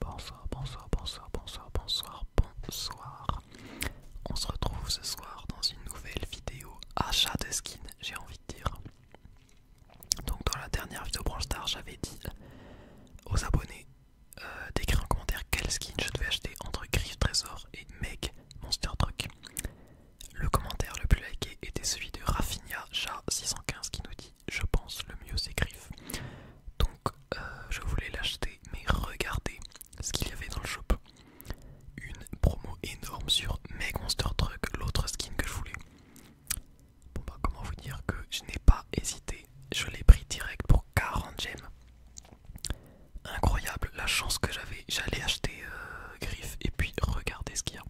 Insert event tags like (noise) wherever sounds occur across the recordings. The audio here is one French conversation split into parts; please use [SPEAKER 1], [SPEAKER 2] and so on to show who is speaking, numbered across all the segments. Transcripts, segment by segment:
[SPEAKER 1] Bonsoir, bonsoir, bonsoir, bonsoir, bonsoir, bonsoir. On se retrouve ce soir dans une nouvelle vidéo achat de skin, j'ai envie de dire. Donc dans la dernière vidéo Star, j'avais dit aux abonnés euh, d'écrire en commentaire quel skin je devais acheter entre Griff Trésor et Meg Monster Truck. Le commentaire le plus liké était celui de Rafinha Chat 615 qui nous dit je pense, le mieux c'est Griff, Donc, euh, je voulais l'acheter, mais regardez ce qu'il y avait dans le shop. Une promo énorme sur Meg Monster Truck, l'autre skin que je voulais. Bon bah, comment vous dire que je n'ai pas hésité, je l'ai pris direct pour 40 gemmes. Incroyable la chance que j'avais, j'allais acheter euh, Griff et puis regardez ce qu'il y a.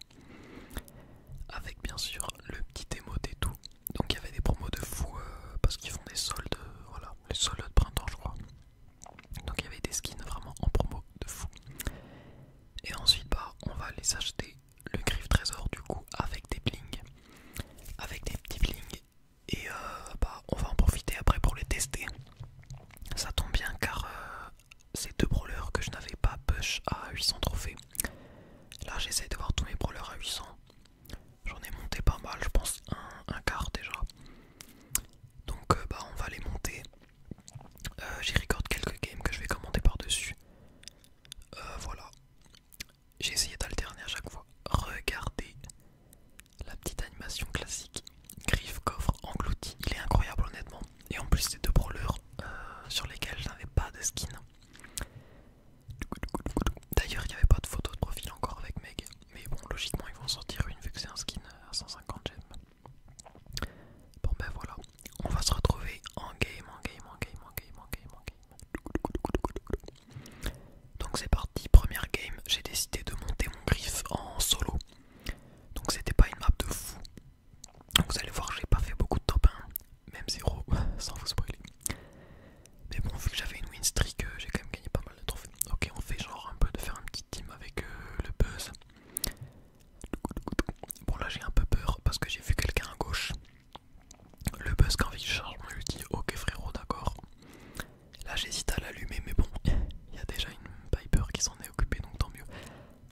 [SPEAKER 1] Avec bien sûr le petit démo et tout. Donc il y avait des promos de fou euh, parce qu'ils font des soldes, euh, voilà, les soldes de printemps je crois. Donc il y avait des skins vraiment en promo de fou. Et ensuite bah on va les acheter le griffe trésor du coup avec des blings. Avec des petits blings. Et euh, bah on va en profiter après pour les tester. Ça tombe bien car ces deux brawlers que je n'avais pas push à 800 trophées. Là j'essaie de voir tous mes brawlers à 800. J'en ai monté pas mal, je pense un, quart déjà. Donc euh, bah on va les monter. Euh, J'y record quelques games que je vais commander par-dessus. Euh, voilà. J'ai essayé d'alterner à chaque fois. Regardez la petite animation classique. Griffe, coffre, englouti. Il est incroyable honnêtement. Et en plus, c'est deux brawlers euh, sur lesquels je n'avais pas de skin. D'ailleurs, il n'y avait pas de photo de profil encore avec Meg. Mais bon, logiquement, ils vont sortir une vu que c'est un skin euh, à 150 gems. Bon, ben voilà. On va se retrouver en game, en game, en game, en game, en game, en game. Donc, c'est parti. Première game, j'ai décidé de monter mon griffe en solo. Donc, c'était pas une map de fou. Donc Vous allez voir, j'ai pas fait beaucoup de top 1, même 0, (laughs) sans vous spoiler. Mais bon, vu que j'avais une win streak, euh, j'ai quand même gagné pas mal de trophées. Ok, on fait genre un peu de faire un petit team avec euh, le buzz. Bon, là j'ai un peu peur parce que j'ai vu quelqu'un à gauche. Le buzz, quand il charge, on lui dit Ok, frérot, d'accord. Là j'hésite à l'allumer, mais bon, (laughs) il y a déjà une Piper qui s'en est occupée donc tant mieux.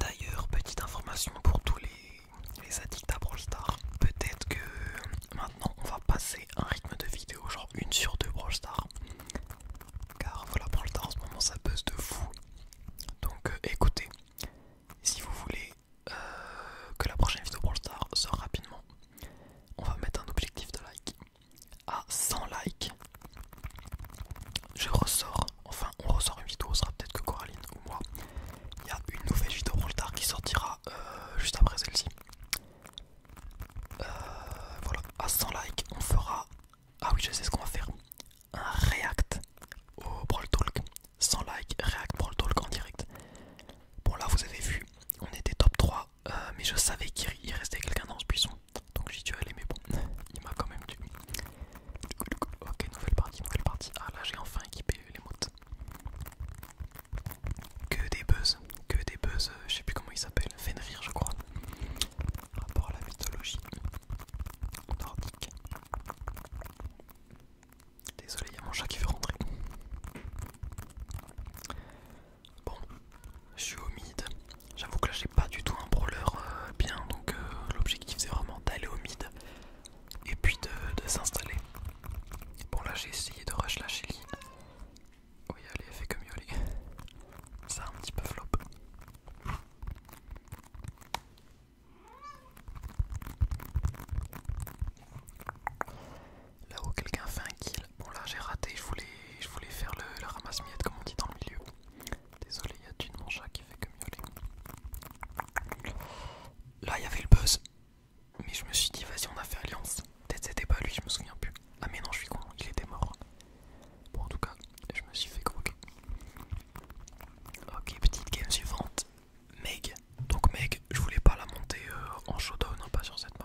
[SPEAKER 1] D'ailleurs, petite information pour tous les, addicts à Brawl Stars. Peut-être que maintenant on va passer un rythme de vidéo, genre une sur deux Brawl Stars. Car voilà, Brawl en ce moment ça buzz de fou. Donc euh, écoutez, si vous voulez euh, que la prochaine vidéo Brawl Stars sort rapidement, on va mettre un objectif de like à 100 likes, je ressors, enfin on ressort une vidéo, sera peut-être que Coraline ou moi. Il y a une nouvelle vidéo tard qui sortira euh, juste après celle-ci. Euh, voilà, à 100 likes, on fera. Ah oui, je sais ce qu'on va faire. Un react au Brawl Talk. 100 likes, react Brawl Talk en direct. Bon, là vous avez vu, on était top 3 euh, mais je savais qu'il restait quelqu'un dans ce buisson, donc j'y dû aller, mais bon, (laughs) il m'a quand même tué. Ok, nouvelle partie, nouvelle partie. Ah là, j'ai enfin équipé les mots. Que des buzz, que des buzz, euh, je sais plus comment il s'appelle, Fenrir, je crois. Rapport à la mythologie nordique. Désolé, il y a mon chat qui veut rentrer. Bon, je suis au mid. J'avoue que là j'ai pas du tout un brawler euh, bien, donc euh, l'objectif c'est vraiment d'aller au mid et puis de, s'installer. Bon là j'ai essayé de rush la Shelly. Oui allez, fait comme Yoli. Ça un petit peu flop là où quelqu'un fait un kill. Bon, là, j'ai raté. Je voulais, je voulais faire le, ramasse-miette, comme on dit dans le milieu. Désolé, il y a du mon qui fait que miauler. Là, il y avait le buzz. Mais je me suis dit, vas-y, on a fait alliance. Peut-être c'était pas lui, je me souviens plus. Ah, mais non, je suis con, il était mort. Bon, en tout cas, je me suis fait croquer. Ok, petite game suivante. Meg. Donc, Meg, je voulais pas la monter euh, en showdown, hein, pas sur cette map.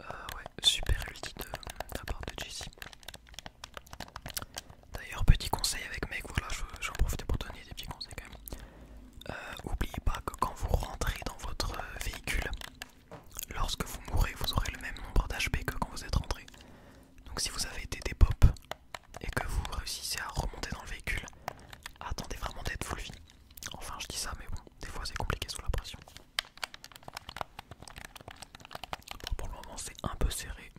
[SPEAKER 1] Euh, ouais, super ulti de, la part de Jessie. D'ailleurs, petit conseil avec mec, voilà, j'en profite pour donner des petits conseils quand même. Euh, oubliez pas que quand vous rentrez dans votre véhicule, lorsque vous mourrez, vous aurez le même nombre d'HP que quand vous êtes rentré. Donc, si vous avez été des pops et que vous réussissez à remonter dans le véhicule, attendez vraiment d'être full vie. Enfin, je dis ça, mais bon, des fois c'est compliqué sous la pression pour le moment, c'est un peu serré.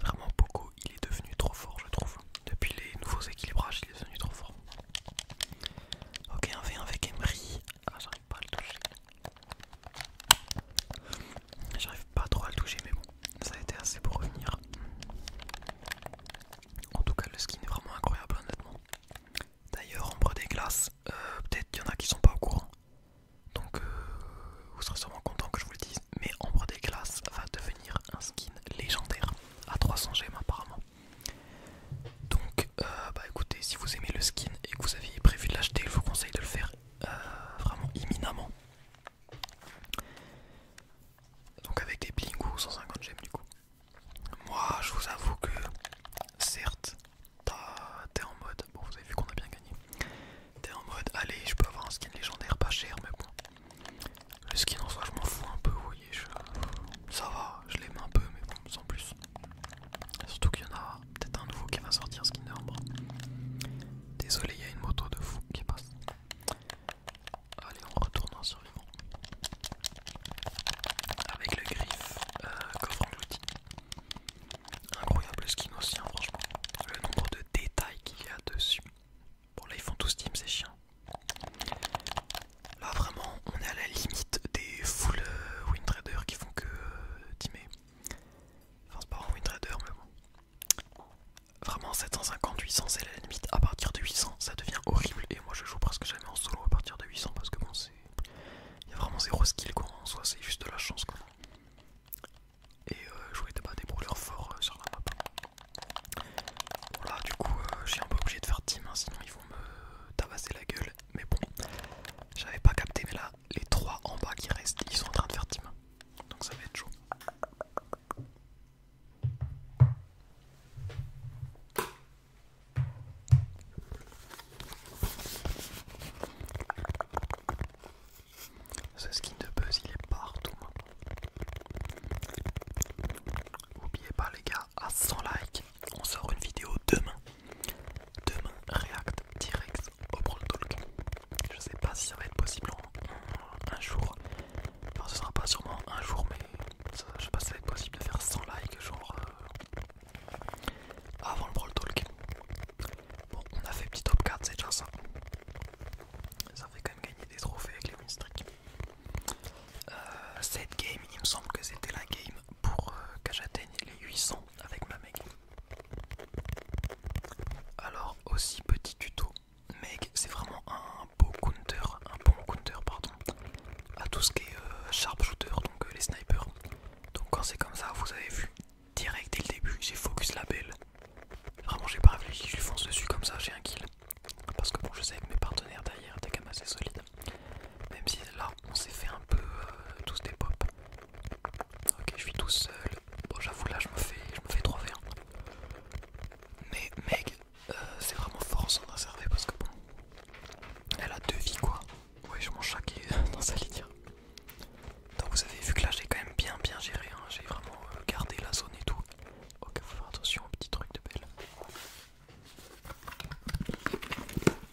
[SPEAKER 1] Vraiment, beaucoup il est devenu trop fort, je trouve. Depuis les nouveaux équilibrages, il est devenu trop fort. Ok, un V1 avec Emery. Ah, j'arrive pas à le toucher. J'arrive pas trop à le toucher, mais bon, ça a été assez pour revenir. En tout cas, le skin est vraiment incroyable, honnêtement. D'ailleurs, Ombre des Glaces, euh, peut-être qu'il y en a qui sont pas au courant. Donc euh, vous serez sûrement content que je vous le dise. Mais Ombre des Glaces va devenir un skin légendaire à 300 gemmes apparemment. Donc euh, bah écoutez, si vous aimez le skin et que vous aviez prévu de l'acheter, je vous conseille de le faire vraiment imminemment. Donc avec des bling ou 150 gemmes du coup. Moi, je vous avoue que certes, t'es en mode. Bon, vous avez vu qu'on a bien gagné. T'es en mode, allez, je peux avoir un skin légendaire pas cher, mais bon. Le skin en soi, je m'en fous un peu, vous voyez. ça va, je l'aime un peu, mais bon, sans plus. Surtout qu'il y en a peut-être un nouveau qui va sortir, skin d'arbre. Désolé, il y a une moto de fou qui passe. Allez, on retourne en survivant avec le griffe euh, coffre englouti. Incroyable skin aussi, hein, franchement. Le nombre de détails qu'il y a dessus. Bon, là ils font tous team, ces chiens. Là vraiment, on est à la limite des full euh, wind qui font que euh, teamer. Enfin, c'est pas un wind trader, mais bon. Vraiment, 750, 800, c'est la limite. À partir de 800, ça devient horrible. Et moi je joue presque jamais en solo à partir de 800 parce que bon, il y a vraiment zéro skill quoi en soi, c'est juste de la chance quoi. Et euh, je vais bah, des brûleurs forts euh, sur la map. là, du coup, euh, je j'ai un peu obligé de faire team, hein, sinon ils vont me tabasser la gueule. Mais bon, j'avais pas capté, mais là, les trois en bas qui restent, ils sont en train de faire team. Donc ça va être chaud. Ce skin de buzz il est partout maintenant. N'oubliez pas les gars, à 100 likes, on sort une vidéo demain. Demain, react direct au Brawl Talk. Je sais pas si ça va être possible un jour. Enfin, ce sera pas sûrement un jour, mais je sais pas si ça va être possible de faire 100 likes, genre euh, ah, avant le Brawl Talk. Bon, on a fait petit top 4, c'est déjà ça. Ça fait quand même gagner des trophées avec les win streaks. Euh, cette game, il me semble que c'était la game pour euh, que j'atteigne les 800 avec ma Meg. Alors, aussi petit tuto. Meg, c'est vraiment un beau counter, un bon counter, pardon à tout ce qui est sharp euh, sharpshooter, donc euh, les snipers. Donc quand c'est comme ça, vous avez vu direct dès le début, j'ai focus la belle. Vraiment, j'ai pas réfléchi, je lui fonce dessus comme ça, j'ai un kill. Parce que bon, je sais que mes partenaires derrière étaient quand même assez solides. Même si là, on s'est fait un peu euh, tous des pop. Ok, je suis tout seul. Bon, j'avoue, là, je me fais, je me fais 3 v Mais mec, euh, c'est vraiment fort en s'en parce que bon, elle a deux vies quoi. Ouais, je mange chaque (laughs) dans sa litière. Donc vous avez vu que là j'ai quand même bien bien géré, hein. j'ai vraiment euh, gardé la zone et tout. Ok, faut faire attention aux petits trucs de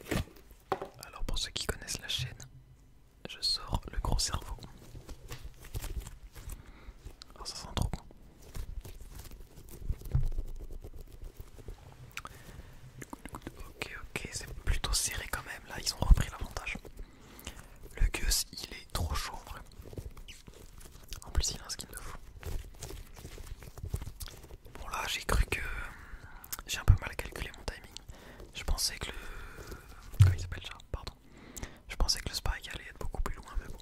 [SPEAKER 1] belle. Alors pour ceux qui connaissent la chaîne, je sors le gros cerveau. Oh, ça sent trop bon. Ok, ok, c'est plutôt serré quand même. Là, ils ont repris l'avantage. Le Gus, il est trop chaud en vrai. En plus, il a un skin de fou. Bon, là, j'ai cru que j'ai un peu mal calculé mon timing. Je pensais que le. Comment il s'appelle déjà Pardon. Je pensais que le Spike allait être beaucoup plus loin, mais bon.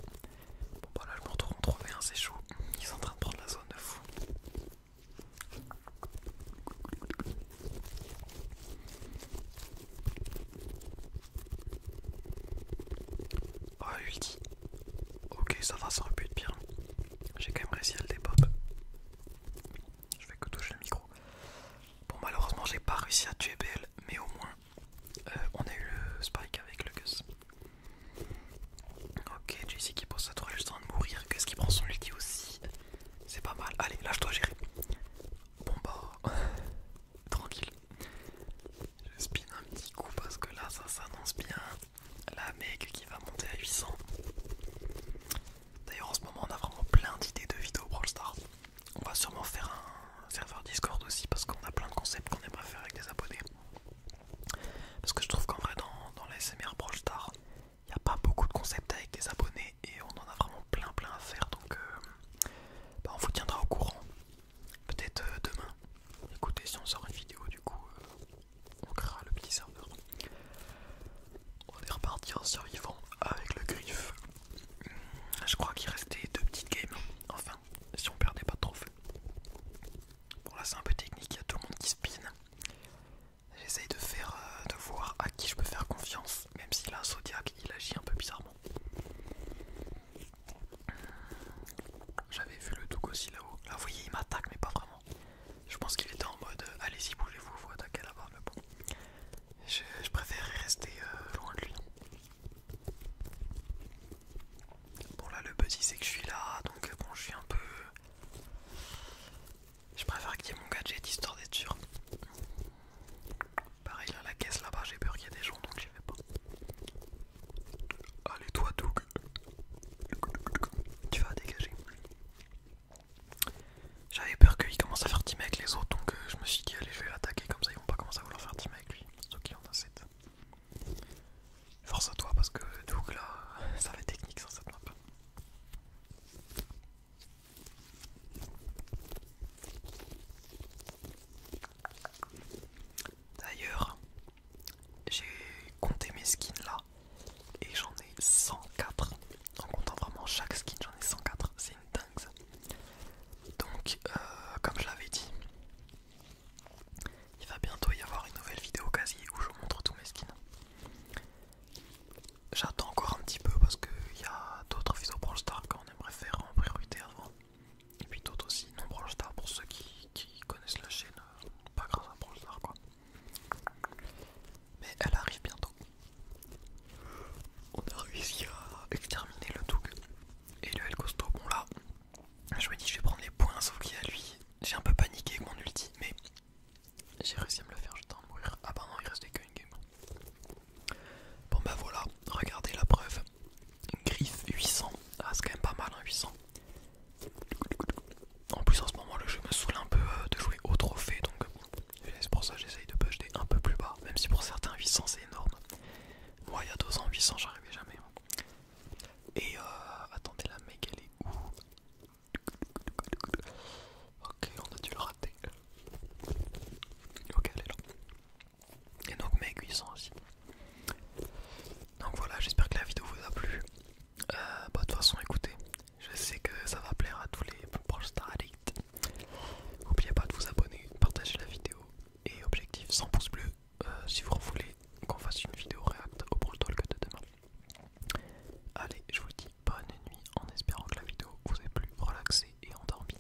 [SPEAKER 1] Bon bah là je me retrouve en c'est chaud, ils sont en train de prendre la zone de fou. Oh ulti. Ok ça va, sans but pu pire. J'ai quand même réussi à le dépop. Je vais que toucher le micro. Bon malheureusement j'ai pas réussi à tuer BL mais au moins euh, on a eu le spike avec le Gus. Ok, sais qui pose à toi juste en train de mourir. Qu'est-ce qu'il prend son ulti aussi C'est pas mal. Allez, lâche-toi, gérer. Bon bah, (laughs) tranquille. Je spin un petit coup parce que là, ça s'annonce bien. La mec qui va monter à 800. D'ailleurs, en ce moment, on a vraiment plein d'idées de vidéos Brawl Stars. On va sûrement faire un serveur Discord aussi parce qu'on a plein de concepts qu'on aimerait faire avec des abonnés. Parce que je trouve qu'en vrai, dans, dans l'ASMR Brawl il n'y a pas beaucoup de concepts avec des abonnés et on en a vraiment plein plein à faire. Donc, euh, bah, on vous tiendra au courant. Peut-être euh, demain. Écoutez, si on sort une vidéo, du coup, euh, on créera le petit serveur. On est reparti en survivant avec le griffe. Je crois qu'il restait deux petites games. Enfin, si on perdait pas de trophée. Bon là c'est un peu technique, il y a tout le monde qui spine J'essaye de faire euh, de voir à qui je peux faire confiance, même si un Zodiac il agit un peu bizarrement. J'avais vu le Doug aussi là-haut. Là ah, vous voyez il m'attaque mais pas vraiment. Je pense qu'il était en mode euh, allez-y bougez-vous, vous attaquez là-bas, mais bon. Je, préfère rester euh, loin de lui. Bon là le petit c'est que je suis là donc bon je suis un peu... Je préfère qu'il y ait mon gadget histoire d'être sûr. Pareil à la caisse là-bas j'ai peur qu'il y ait des gens donc j'y vais pas. Allez toi Doug Tu vas dégager. J'avais peur qu'il commence à faire team avec les autres donc euh, je me suis dit allez je vais l'attaquer comme ça ils vont pas commencer à vouloir faire team avec lui. Sauf qu'il en a Force à toi parce que Doug là, ça va être technique sur cette map. D'ailleurs, j'ai compté mes skins là et j'en ai 104. En comptant vraiment chaque skin, j'en ai 104. C'est une dingue ça. Donc, euh, comme je l'avais dit, il va bientôt y avoir une nouvelle vidéo quasi où je montre tous mes skins. J'attends encore un petit peu parce qu'il y a d'autres vidéos Brawl Stars qu'on aimerait faire en priorité avant. Et puis d'autres aussi non Brawl Star pour ceux qui, connaissent la chaîne, euh, pas grâce à Brawl Star quoi. Mais elle arrive bientôt. On a réussi à exterminer le Doug et le El Costo. Bon là, je me dis, je vais prendre les points, sauf qu'il y a lui. J'ai un peu paniqué avec mon ulti, mais j'ai réussi à me le faire, j'étais en mourir. Ah bah non, il restait qu'une game. Bon bah voilà, regardez la preuve. Griffe 800. Ah, c'est quand même pas mal, 800. Hein, en plus, en ce moment, le jeu me saoule un peu euh, de jouer au trophée, donc euh, c'est pour ça que j'essaye de budgeter un peu plus bas, même si pour certains 800 c'est énorme. Moi, il y a deux ans, 800, j'arrivais jamais. Hein. Et euh, attendez, la mec, elle est où Ok, on a dû le rater. Ok, elle est là. Et donc, mec sont aussi. Donc voilà, j'espère que la vidéo vous a plu. Euh, bah, de toute façon, écoutez, je sais que ça va plaire à tous les proches Star Elite. N'oubliez pas de vous abonner, partager la vidéo et objectif 100 pouces bleus euh, si vous voulez qu'on fasse une vidéo réacte au brutal Talk de demain. Allez, je vous dis bonne nuit en espérant que la vidéo vous ait plu, relaxé et endormi.